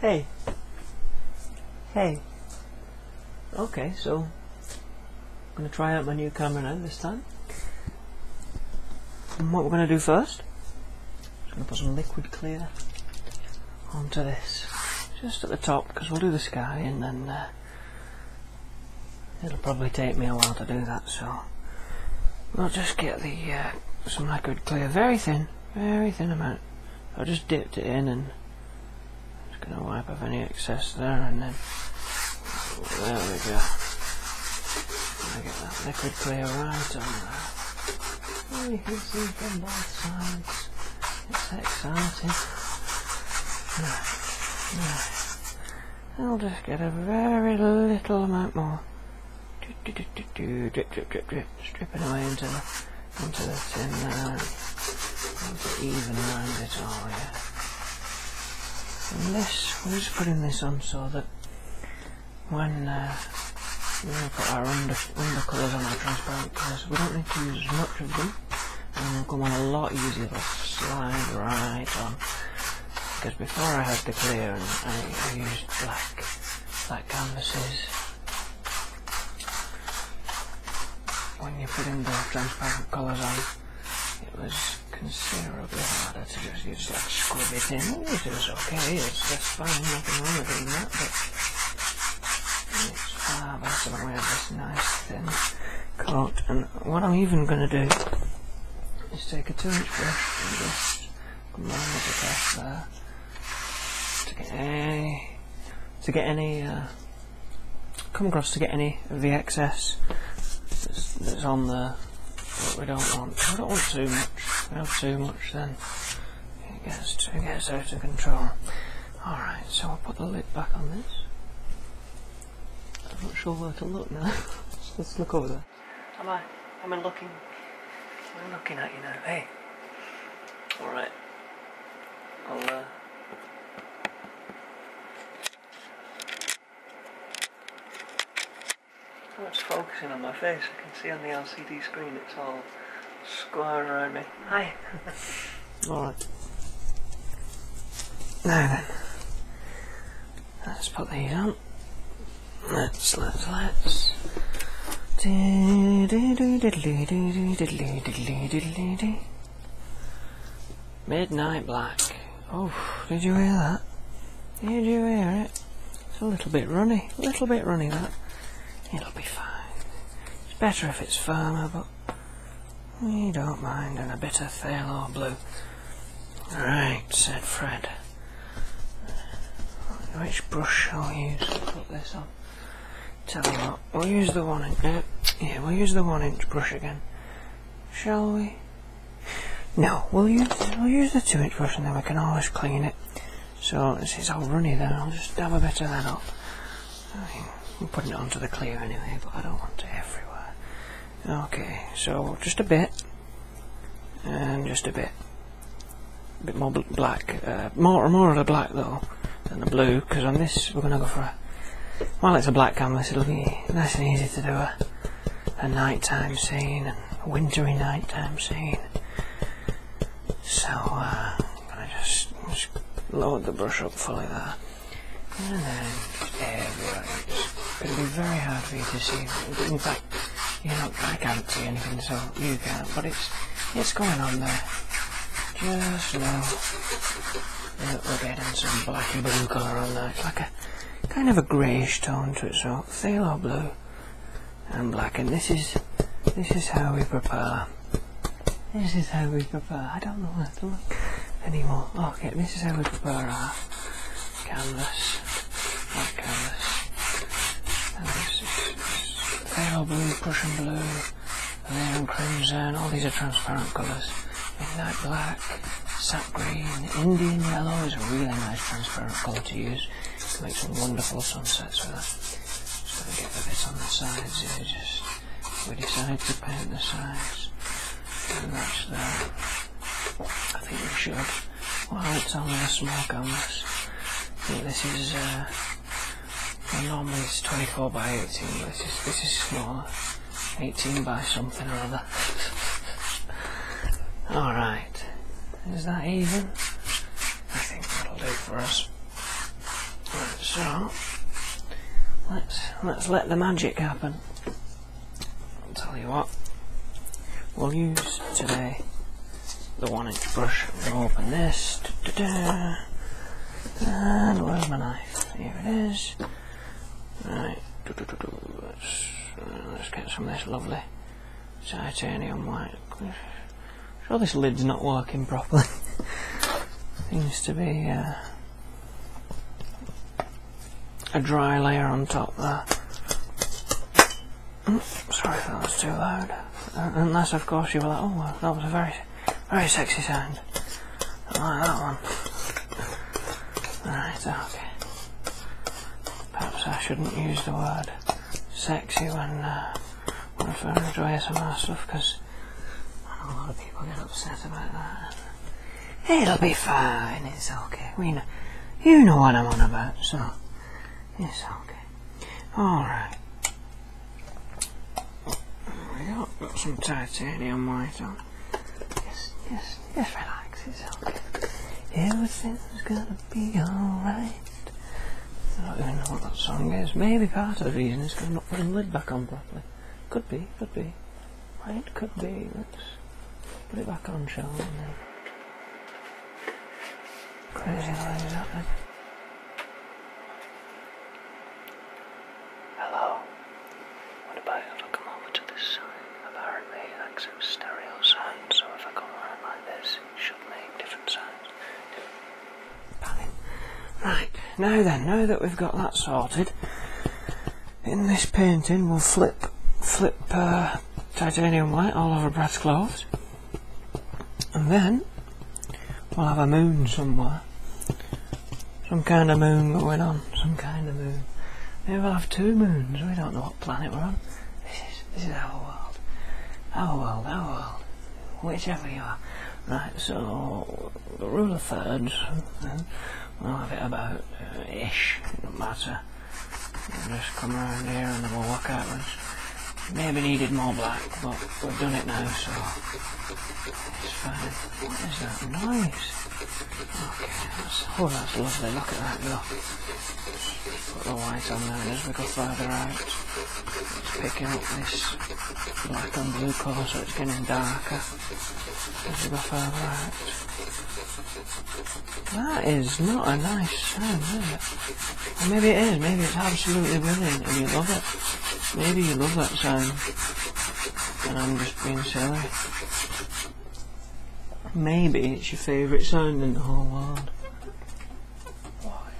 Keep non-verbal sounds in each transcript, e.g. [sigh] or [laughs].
Hey. Hey. Okay, so I'm going to try out my new camera now this time. And what we're going to do first, I'm going to put some liquid clear onto this, just at the top, because we'll do the sky and then uh, It'll probably take me a while to do that, so i will just get the uh, some liquid clear, very thin, very thin amount. I will just dipped it in and just going to wipe off any excess there and then there we go. I get that liquid clear right on there. You can see from both sides. It's exciting. I'll just get a very little amount more. drip, drip, drip, drip, stripping away into the, into the tin there. And even around it all, yeah. this, we're just putting this on so that when uh, we put our under, under colours on our transparent colours, we don't need to use as much of them. And they'll come on a lot easier, slide right on because before I had to clear and I, used black, black canvases. When you put in the transparent colours on, it was considerably harder to just, use that like thing. it in. was okay, it's just fine, nothing wrong with doing that, but it's far better when we have this nice thin coat. And what I'm even going to do just take a two inch brush and just manage across there to get any to get any come across to get any of the excess that's, on there that we don't want we don't want too much we have too much then it gets it gets out of control alright so I'll put the lid back on this I'm not sure where to look now let's look over there Am I? Am I looking? Am I looking at you now? Hey. All right. I'll. Uh, so much focusing on my face. I can see on the LCD screen it's all square around me. Hi. all right. Now Let's put these on. Let's, let's, let's. Midnight Black. Oh, did you hear that? Did you hear it? It's a little bit runny, a little bit runny that. It'll be fine. It's better if it's firmer, but we don't mind, and a bit of phthalo blue. All right," said Fred. Which brush shall we use to put this on? Tell you what, we'll use the one inch. Uh, yeah, we'll use the one inch brush again. Shall we? No, we'll use we'll use the two inch brush and then we can always clean it. So this is all runny then I'll just dab a bit of that up. I I'm putting it onto the clear anyway, but I don't want it everywhere. Okay, so just a bit. And um, just a bit a bit more black uh, more more of the black though than the blue because on this we're going to go for a while it's a black canvas it'll be nice and easy to do a, a nighttime scene a wintry nighttime scene so i uh, just, just load the brush up fully there and then airwork. It'll be very hard for you to see. in fact, you know, I can't see anything, so you can't. But it's it's going on there. Just now, that we're getting some black and blue colour on that. It's like a kind of a greyish tone to it, so phthalo blue and black. And this is this is how we prepare. This is how we prepare. I don't know what to look anymore. Okay, this is how we prepare canvas, not canvas, and pale blue, Prussian blue, and crimson, all these are transparent colours. Midnight black, sap green, Indian yellow is a really nice transparent colour to use to make some wonderful sunsets with that. So we get the bits on the sides we decided to paint the sides, and that's I think we should. Well, it's only a small canvas. I think this is, uh, well, normally it's 24 by 18, but this is, this is smaller. 18 by something or other. [laughs] Alright. Is that even? I think that'll do for us. so, let's let the magic happen. I'll tell you what, we'll use today the one inch brush. I'm gonna open this, and where's my knife? Here it is. Right, uh, Let's, get some of this lovely titanium white. i this lid's not working properly. [laughs] Seems to be uh, a dry layer on top there. sorry if that was too loud. Uh, unless, of course, you were like, oh, that was a very, very sexy sound. I like that one. Right, okay. Perhaps I shouldn't use the word sexy when, uh, when referring to ASMR stuff, because a lot of people get upset about that. It'll be fine, it's okay. We know, you know what I'm on about, so it's okay. Alright. We got, some titanium white on. Yes, yes, yes, relax, it's okay. Everything's gonna be alright. I don't even know what that song is. Maybe part of the reason is I'm not putting the lid back on properly. Could be, could be. Right, could be. Let's put it back on, shall Crazy lines happening. Hello. What about if I come over to this side? Apparently it accepts stereo sound, so if I come around like this, it should make different sounds. Right, now then, now that we've got that sorted, in this painting we'll flip flip uh, titanium white all over Brad's clothes and then we'll have a moon somewhere some kind of moon going on some kind of moon we'll have two moons we don't know what planet we're on this is, this is our world our world our world whichever you are right so the rule of thirds We'll have it about uh, ish, it not matter. We'll just come around here and then we'll walk outwards. Maybe needed more black, but we've done it now, so it's fine. What is that noise? Okay, oh, that's lovely. Look at that go. Put the white on there, as we go further out, it's picking up this black and blue colour, so it's getting darker as we go further out. That is not a nice sound, maybe it is, maybe it's absolutely brilliant and you love it. Maybe you love that sound and I'm just being silly. Maybe it's your favourite sound in the whole world. Why?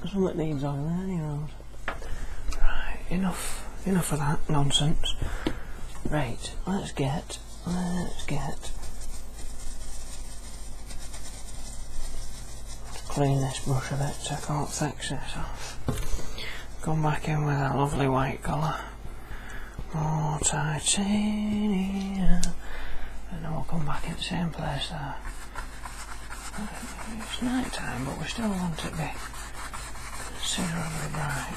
There's one that needs on there, any road. Right, enough, enough of that nonsense. Right, let's get, let's get. clean this brush a bit so I can't fix it off. Come back in with that lovely white colour. More titanium. And then we'll come back in the same place there. It's night time, but we still want it to be considerably bright.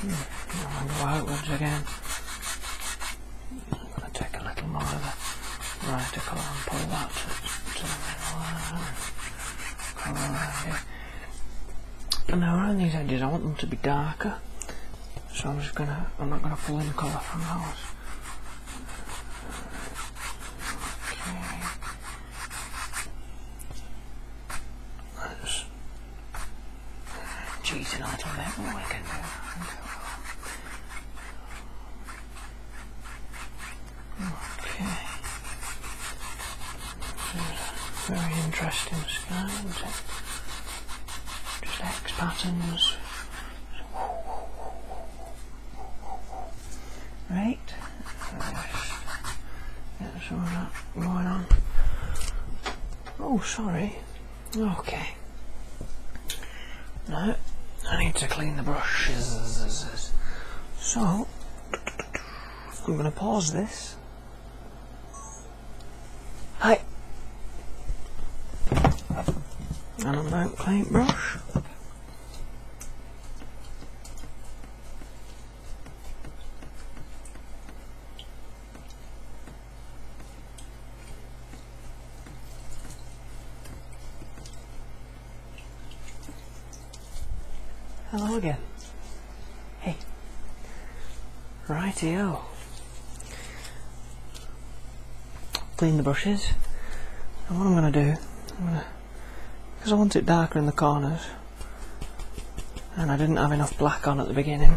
Hmm, I'm going to go outwards again. I'm going to take a little more of the brighter colour and pull that to, the middle. Now around these edges I want them to be darker so I'm just gonna, I'm not gonna fill in the color from those. cheating on them every do. Okay. Very interesting sky, just X patterns, Right. That's all that going on. Oh, sorry. Okay. No, I need to clean the brushes. So, we're going to pause this Hi. And a blank paintbrush. Hello again. Hey. Rightio. Clean the brushes. And what I'm going to do, because I want it darker in the corners, and I didn't have enough black on at the beginning,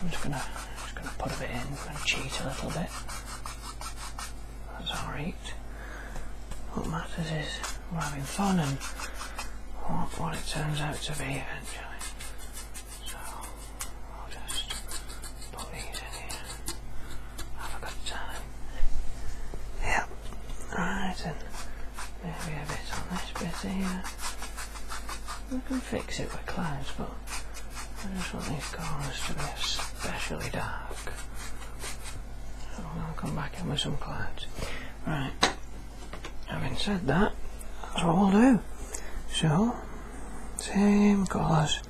I'm just going to just going to put a bit in. i going to cheat a little bit. That's alright. What matters is we're having fun and what, what it turns out to be eventually. So I'll just put these in here. Have a good time. Yep. Right, and maybe a bit on this bit here. We can fix it with clouds, but I just want these corners to be especially dark. I'm gonna come back in with some clouds. Right having said that that's what we'll do so same colours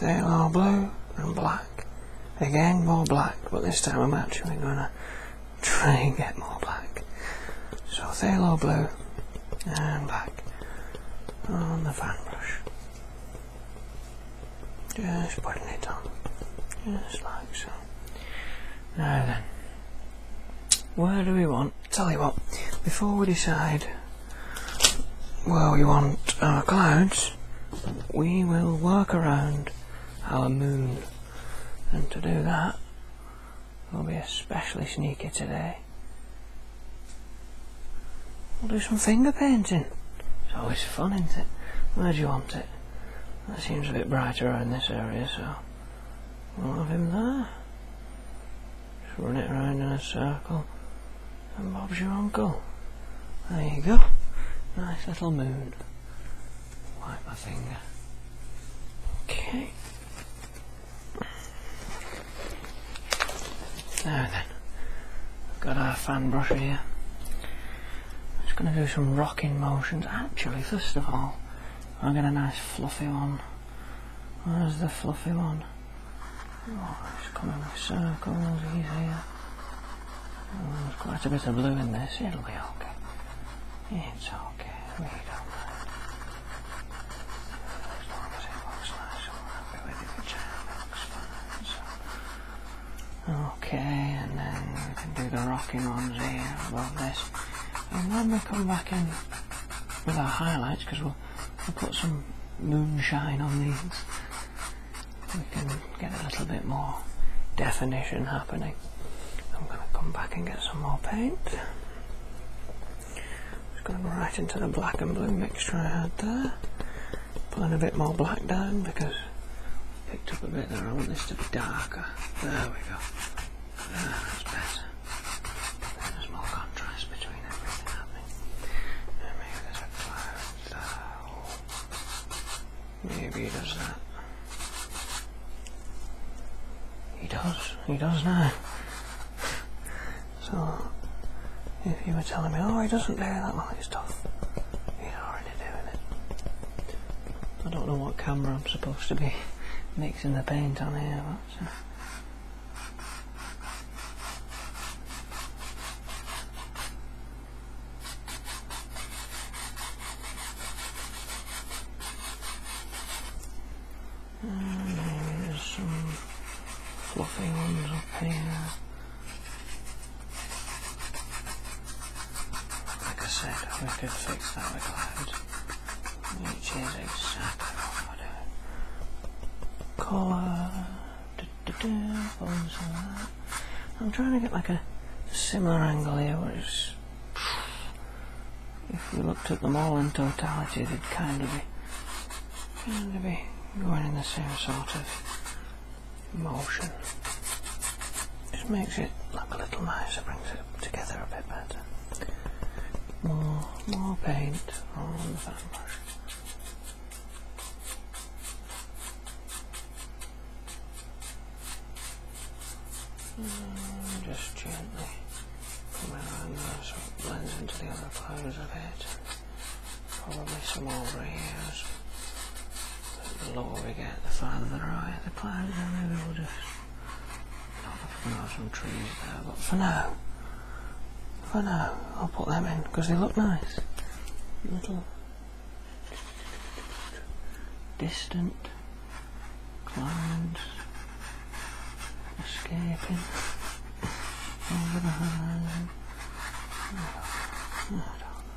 they are blue and black again more black but this time I'm actually going [laughs] to try and get more black so phthalo blue and black on the fan brush just putting it on just like so now then, where do we want? Tell you what, before we decide where we want our clouds, we will work around our moon. And to do that, we'll be especially sneaky today. We'll do some finger painting. It's always fun, isn't it? Where do you want it? That seems a bit brighter around this area, so we'll have him there. Just run it around in a circle. And Bob's your uncle. There you go. Nice little moon. Wipe my finger. Okay. Now then. Got our fan brush here. I'm just going to do some rocking motions. Actually, first of all, I'll get a nice fluffy one. Where's the fluffy one? Oh, it's coming in circles, he's there's quite a bit of blue in this, it'll be okay. It's okay, we don't mind. Okay, and then we can do the rocking ones here above this. And then we come back in with our highlights, because we'll, we'll put some moonshine on these. We can get a little bit more definition happening. I'm going to come back and get some more paint. Just going right into the black and blue mixture I had there. Putting a bit more black down because I picked up a bit there. I want this to be darker. There we go. That's better. There's more contrast between everything happening. maybe there's a cloud there. Maybe he does that. He does. He does now. So, if you were telling me, oh, he doesn't care that, well, it's tough. He's alright. I don't know what camera I'm supposed to be mixing the paint on here. But, so. fluffy ones up here. Like I said, we could fix that with loud, which is exactly what we're Colour, da da da, bones and that. I'm trying to get like a similar angle here, which if you looked at them all in totality, they'd kind of be, kind of be going in the same sort of motion. Just makes it look a little nicer, brings it together a bit better. More, more paint on the fan brush. Mm, just gently come around so it blends into the other parts a bit. Probably some over ears the lower we get, the farther the right, the plants, and maybe we'll just plant some trees there, but for now, for now, I'll put them in, because they look nice. Little distant clouds escaping over the horizon. Oh,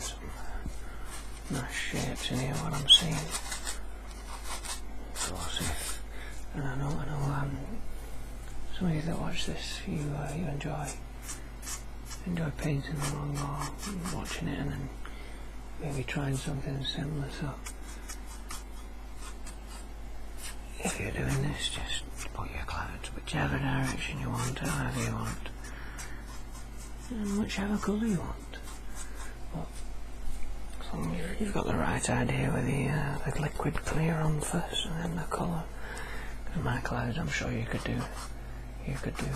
some uh, nice shapes in here, what I'm seeing. Glossy. And I know, I know, um, some of you that watch this, you, uh, you enjoy enjoy painting along or watching it and then maybe trying something similar. So if you're doing this, just put your clothes. whichever direction you want, however you want and um, whichever colour you want. you've got the right idea with the, uh, the liquid clear on first and then the colour. In my clouds, I'm sure you could do you could do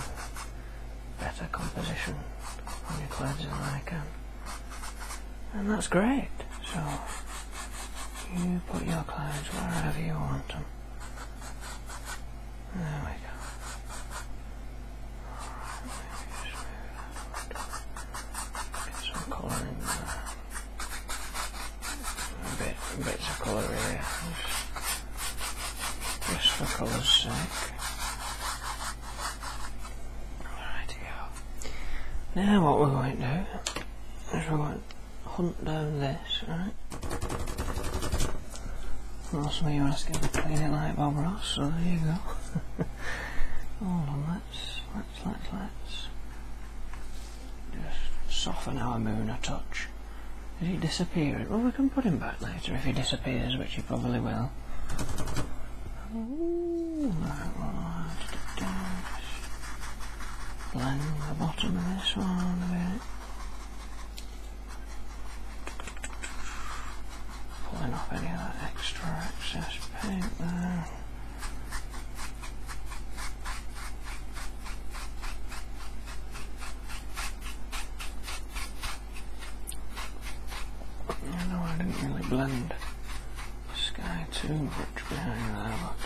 better composition on your clouds than I can. And that's great. So you put your clouds wherever you want them. There we go. Right, maybe just Get some colour in there. A bit, a of colour here. Just for colour's sake. Now what we're going to do is we're going to hunt down this, right? That's what you to clean it like Bob so there you go. [laughs] Hold on, let's, let's, just soften our moon a touch. Is he disappearing? Well, we can put him back later if he disappears, which he probably will. Ooh, right, well, Blend the bottom of this one a bit. Pulling off any of that extra excess paint there. You oh, know, I didn't really blend the sky too much behind there, but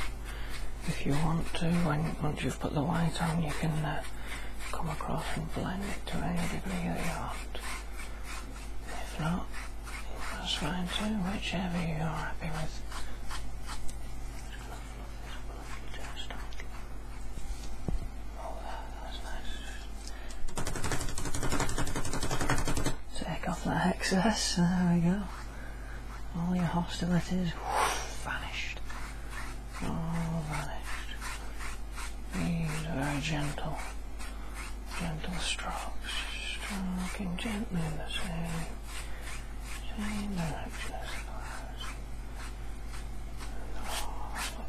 if you want to, when, once put the white on, you can uh, come across and blend it to any degree you want. If not, that's fine too, whichever you're happy with. Take off that excess, there we go. All your hostilities whoosh, vanished all These very gentle, gentle strokes, stroking gently the same, same direction as the last.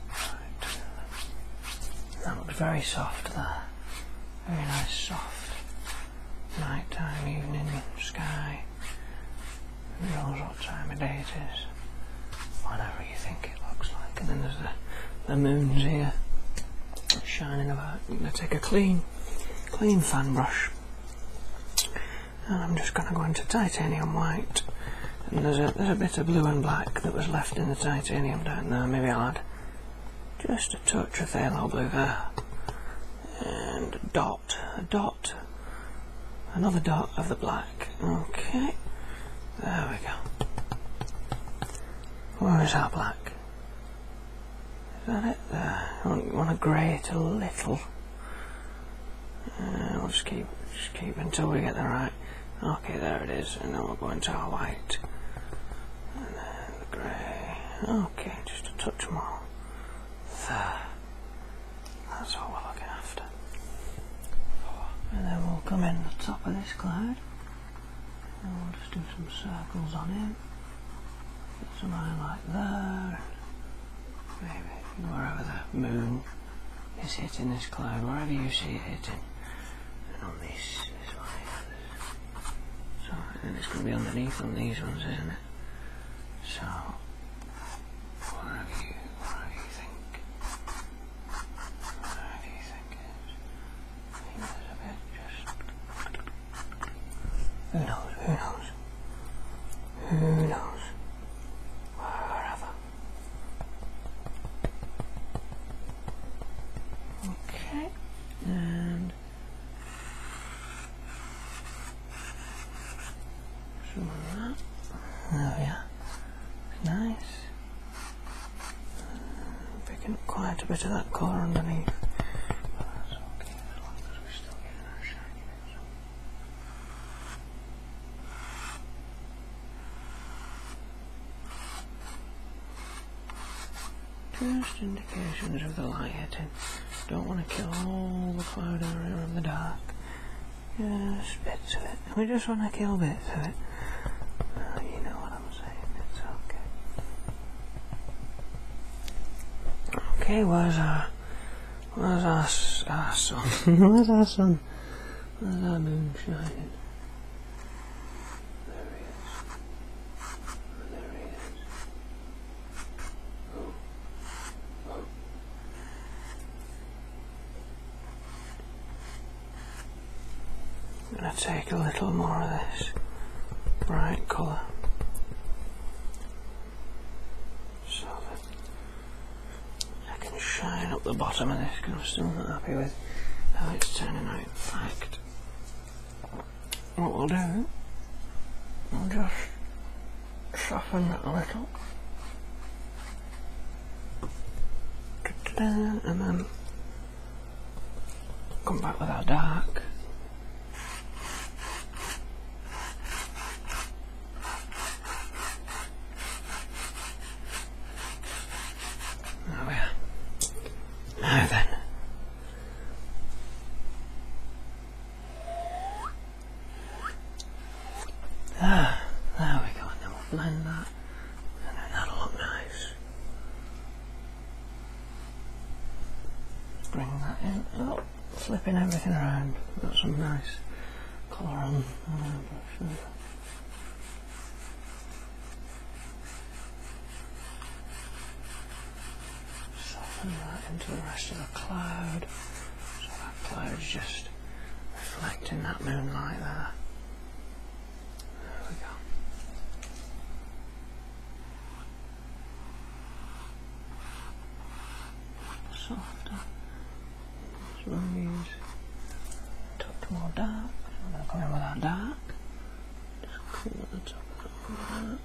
That looks very soft there. Very nice soft nighttime evening sky. Who knows what time of day it is, whatever you think it looks like. And then there's the, the moons here shining about. I'm going to take a clean, clean fan brush and I'm just going to go into titanium white and there's a, there's a bit of blue and black that was left in the titanium down there. Maybe I'll add just a touch of phthalo blue there and a dot, a dot Another dot of the black. Okay. There we go. Where is our black? Is that it? There. want, to grey it a little. i uh, will just keep, just keep until we get the right. Okay, there it is. And then we'll go into our white. And then the grey. Okay, just a touch more. There. That's what we're looking after. And then we'll come in the top of this cloud. And we'll just do some circles on him. Put some highlight there. Maybe wherever the moon is hitting this cloud, wherever you see it hitting. And on this, this one here. So, and it's going to be underneath on these ones, isn't it? So, where have you, where do you think, where do you think it is? I think bit just, who knows, who knows, who knows, wherever. Okay, and Zoom up. Nice. Picking quite a bit of that colour underneath. Just indications of the light hitting. Don't want to kill all the cloud area of the dark. Just bits of it. We just want to kill bits of it. Oh, you know what I'm saying. It's okay. Okay, where's our... Where's our, our sun? [laughs] where's our sun? Where's our moon shining? I'm going to take a little more of this bright colour so that I can shine up the bottom of this because I'm still not happy with how it's turning out. In fact, what we'll do, we'll just soften that a little. And then come back with our dark. There we are. Now then. Ah, there we go, and then we'll blend that, and then that'll look nice. Bring that in, oh, flipping everything around, got some nice colour on, on Soften that into the rest of the cloud, so that cloud's just reflecting that moonlight there. There we go. Softer. So we use tucked more dark. come in with our dark. Just the top of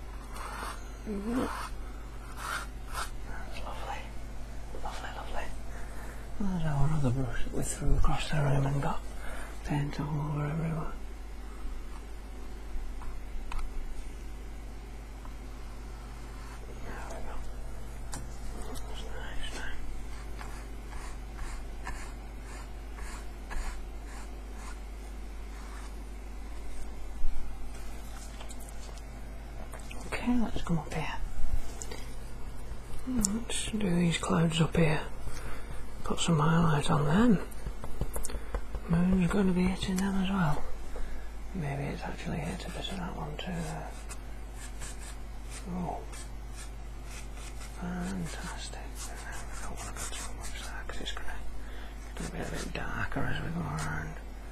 that. lovely. Lovely, lovely. And our other brush that we threw across the room and got paint all over everywhere. Okay, let's come up here. Let's do these clouds up here. Put some highlight on them. Moon's going to be hitting them as well. Maybe it's actually hit a bit of that one too. Oh, fantastic. I don't want to go too much there because it's going to get a bit darker as we go around.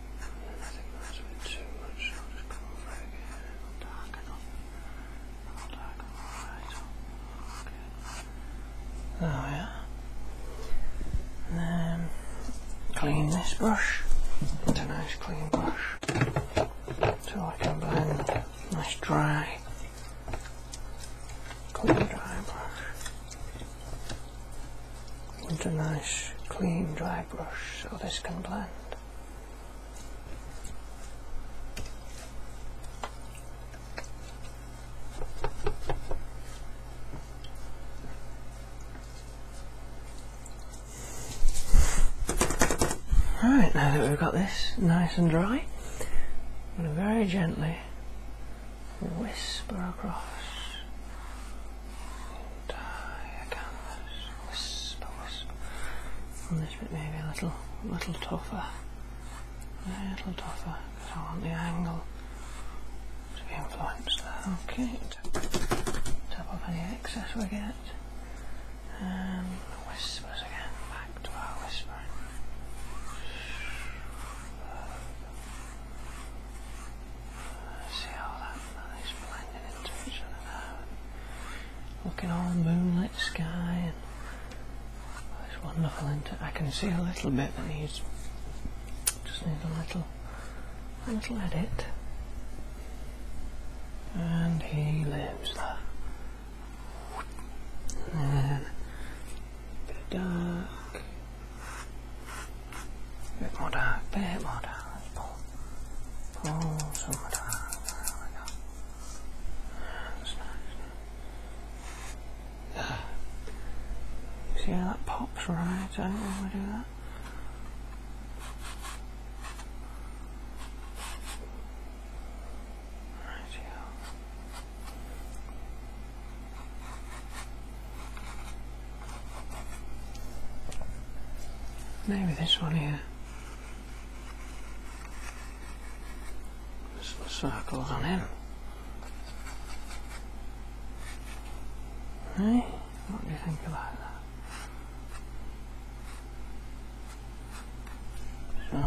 I think that's a too much. just come over again and I'll darken up. right up. Okay. There then clean this brush. It's a nice clean brush. So I can blend nice dry clean dry brush into nice clean dry my brush so this can blend. Right, now that we've got this nice and dry, I'm very gently whisper across die again. Whisper, whisper. this bit maybe a little, little tougher. A little tougher, because I want the angle to be influenced there. Okay, tap off any excess we get. And um, whispers again, back to our whisper see all that nice blending into each other Looking all moonlit sky and it's wonderful into I can see a little bit that needs just needs a little little edit. And he lives there. And dark bit more down, bit more down, pull, pull some more down, there we go. That's nice. Yeah. See how that pops right out when we do that? Maybe this one here. Some circles on him. Hey, what do you think about that? So,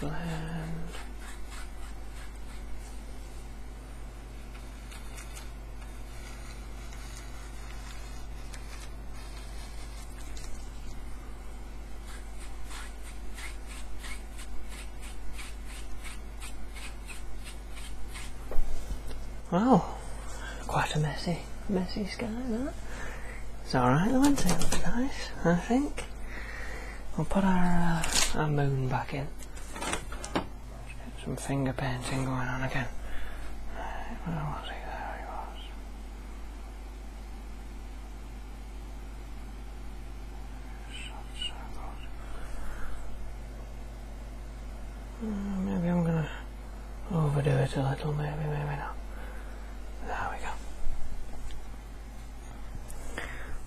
blend, Wow, quite a messy, messy sky that. It's alright, the Wednesday looks nice, I think. We'll put our, uh, our moon back in. Some finger going on again. There he was. Hmm, maybe I'm gonna overdo it a little, maybe, maybe not. There we go.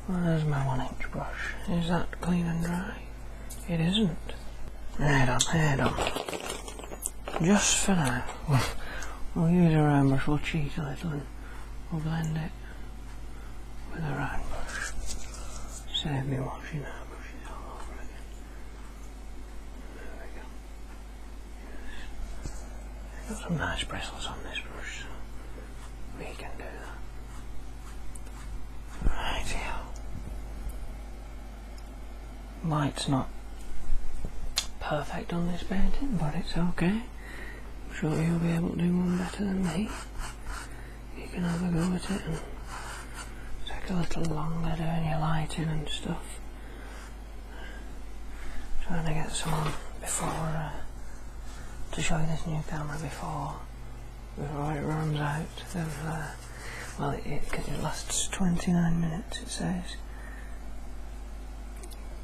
Well, there's my one inch brush. Is that clean and dry? It isn't. Head on, head on. Just for now. We'll, use a round brush, we'll cheat a little and we'll blend it with a round brush. Save me washing out. Got some nice bristles on this brush, we can do that. Right here. Light's not perfect on this painting, but it's okay. I'm sure you'll be able to do one better than me. You can have a go at it and take a little longer doing your lighting and stuff. trying to get someone before uh, to show you this new camera before before it runs out of, uh, well, it, it lasts 29 minutes, it says,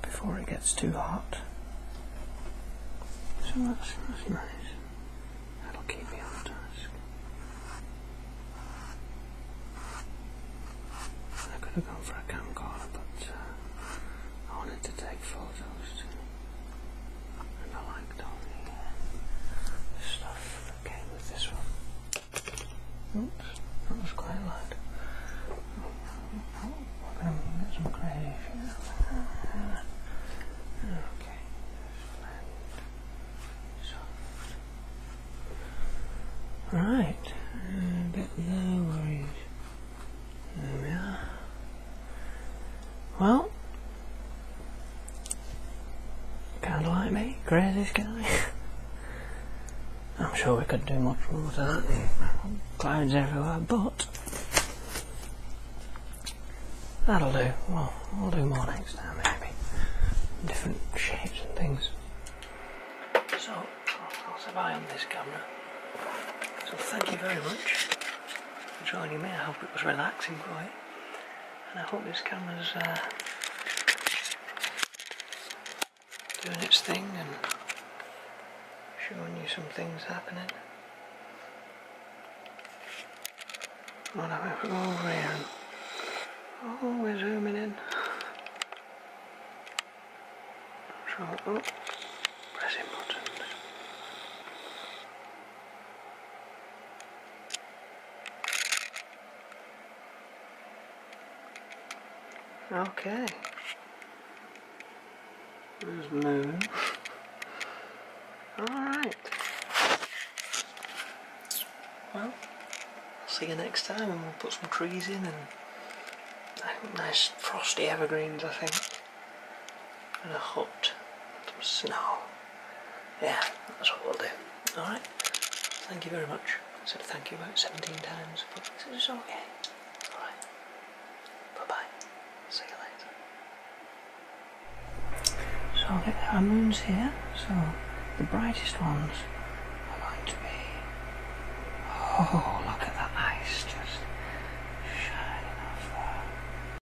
before it gets too hot. So that's, that's nice. That'll keep me on task. I could have gone for a camcorder, but uh, I wanted to take photos and I liked all the stuff that came with this one. Oops, that was quite loud. Oh, we're going to get some gravy. Okay, blend, Right, uh, get There we are. Well, Kinda like me, crazy guy. [laughs] I'm sure we could do much more to that. Clouds everywhere, but that'll do. Well, we'll do more next time, maybe. Different shapes and things. So, I'll say bye on this camera. So, thank you very much for joining me. I hope it was relaxing for you and I hope this camera's uh, doing its thing and showing you some things happening. Well, I'm going to oh, we're zooming in. oh, pressing buttons. Okay. There's moon. Alright. Well, see you next time and we'll put some trees in and nice frosty evergreens I think. And a hut. Some snow. Yeah, that's what we'll do. Alright, thank you very much. I said thank you about 17 times, but this okay. Alright, bye bye. See you later. So I'll get our moons here. So the brightest ones are going to be. Oh, look at that ice just. shining off there.